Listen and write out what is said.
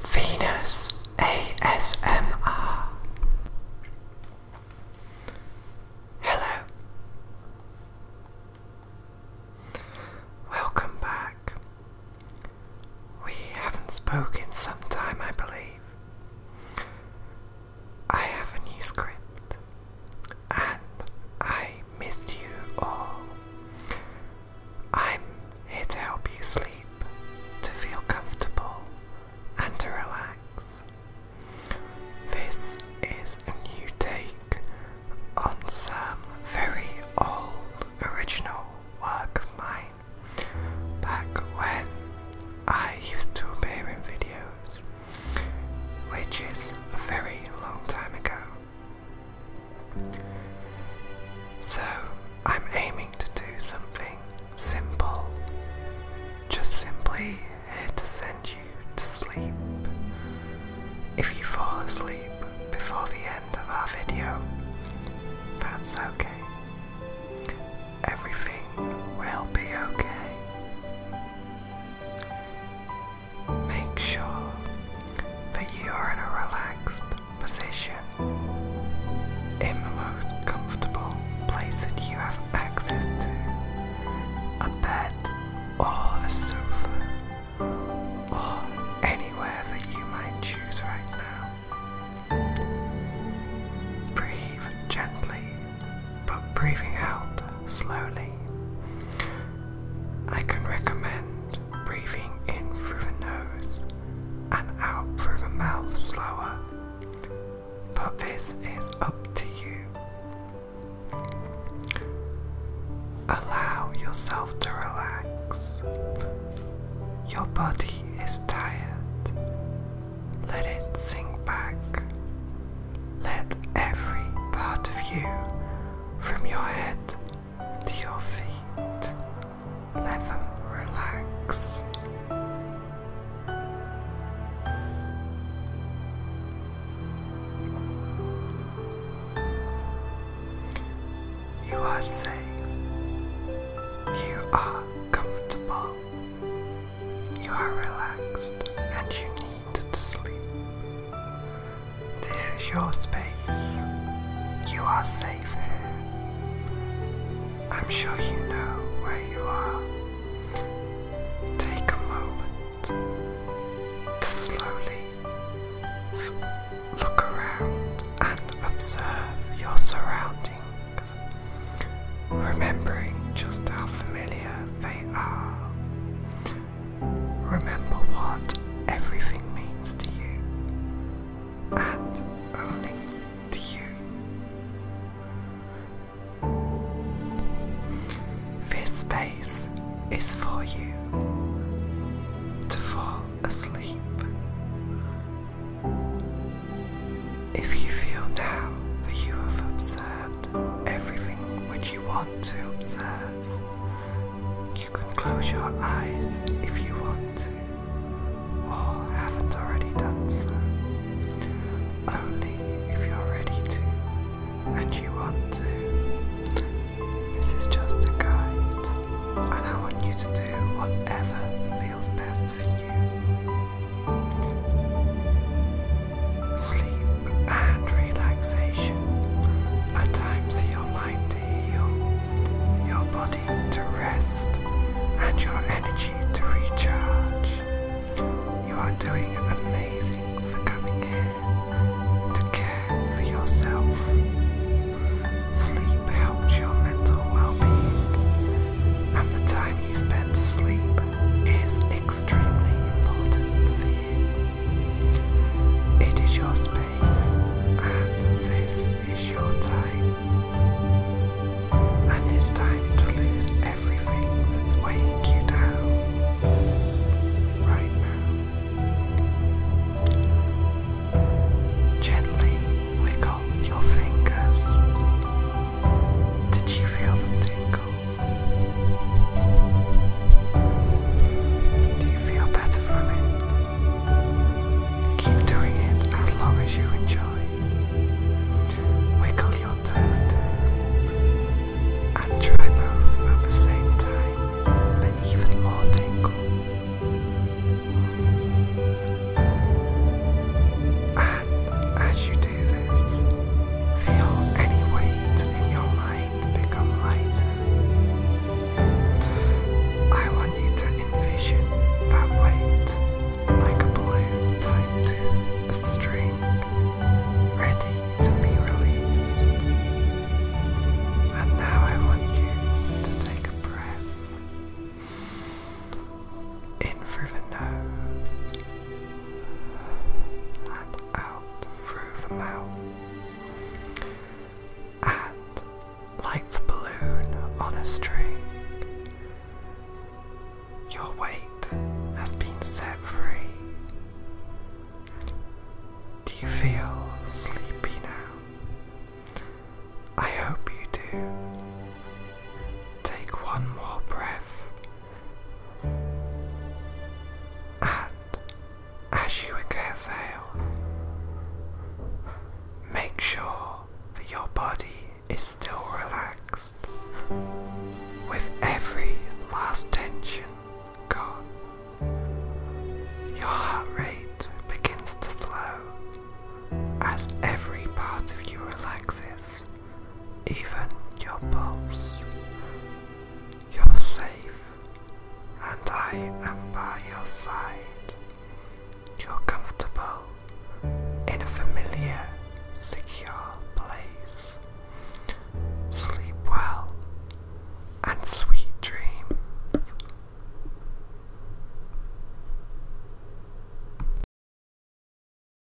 Venus ASMR. Hello. Welcome back. We haven't spoken some time, I believe. I have a new script and I missed you all. I'm here to help you sleep, to feel comfortable, and to relax. This is a new take on some very old original work of mine back when I used to appear in videos, which is a very long time ago. So, I'm aiming to do something simple, just simply here to send you to sleep. If you fall asleep before the end of our video, that's okay. Everything will be okay. Make sure that you are in a relaxed position in the most comfortable place that you have access to a bed or a sofa or anywhere that you might choose right now. Breathe gently, but breathing out slowly. I can recommend breathing in through the nose and out through the mouth slower, but this is up to you. Allow yourself to relax. Your body is tired. Let it sink back. Let every part of you, from your head to your feet. Let them relax. You are safe. You are comfortable. You are relaxed and you need to sleep. This is your space. You are safe here. I'm sure you know where you are. Take a moment to slowly look around and observe your surroundings, remembering just how familiar they are. Remember what everything means to you, and only to you. This space is for you to fall asleep. If you feel now that you have observed everything which you want to observe, you can close your eyes if you want to, or haven't already done so. Only if you're ready to and you want to. This is just a guide, and I want you to do whatever feels best for you sleep and relaxation, At times, your mind to heal, your body to rest, and your energy to recharge. You are doing amazing for coming here to care for yourself. Sleep helps your mental well being, and the time you spend asleep is extremely important for you. It is your space, and this is your time. And it's time to lose everything that's weighing you down right now. Gently wiggle your fingers. Did you feel them tingle? Do you feel better from it? Keep doing it as long as you enjoy. Wiggle your toes too. And try both at the same time for even more tingles. And as you do this, feel any weight in your mind. I want you to envision that weight like a balloon tied to a string, ready to be released. And now I want you to take a breath in through the nose and out through the mouth. And like the balloon on a string, your weight has been set free. Do you feel sleepy now? I hope you do. Take one more breath as at Ashwagandha. Make sure that your body is still relaxed, with every last tension gone. Your heart rate begins to slow as every part of you relaxes even your pulse. You're safe, and I am by your side. You're comfortable in a familiar, secure place. Sleep well and sweet dreams.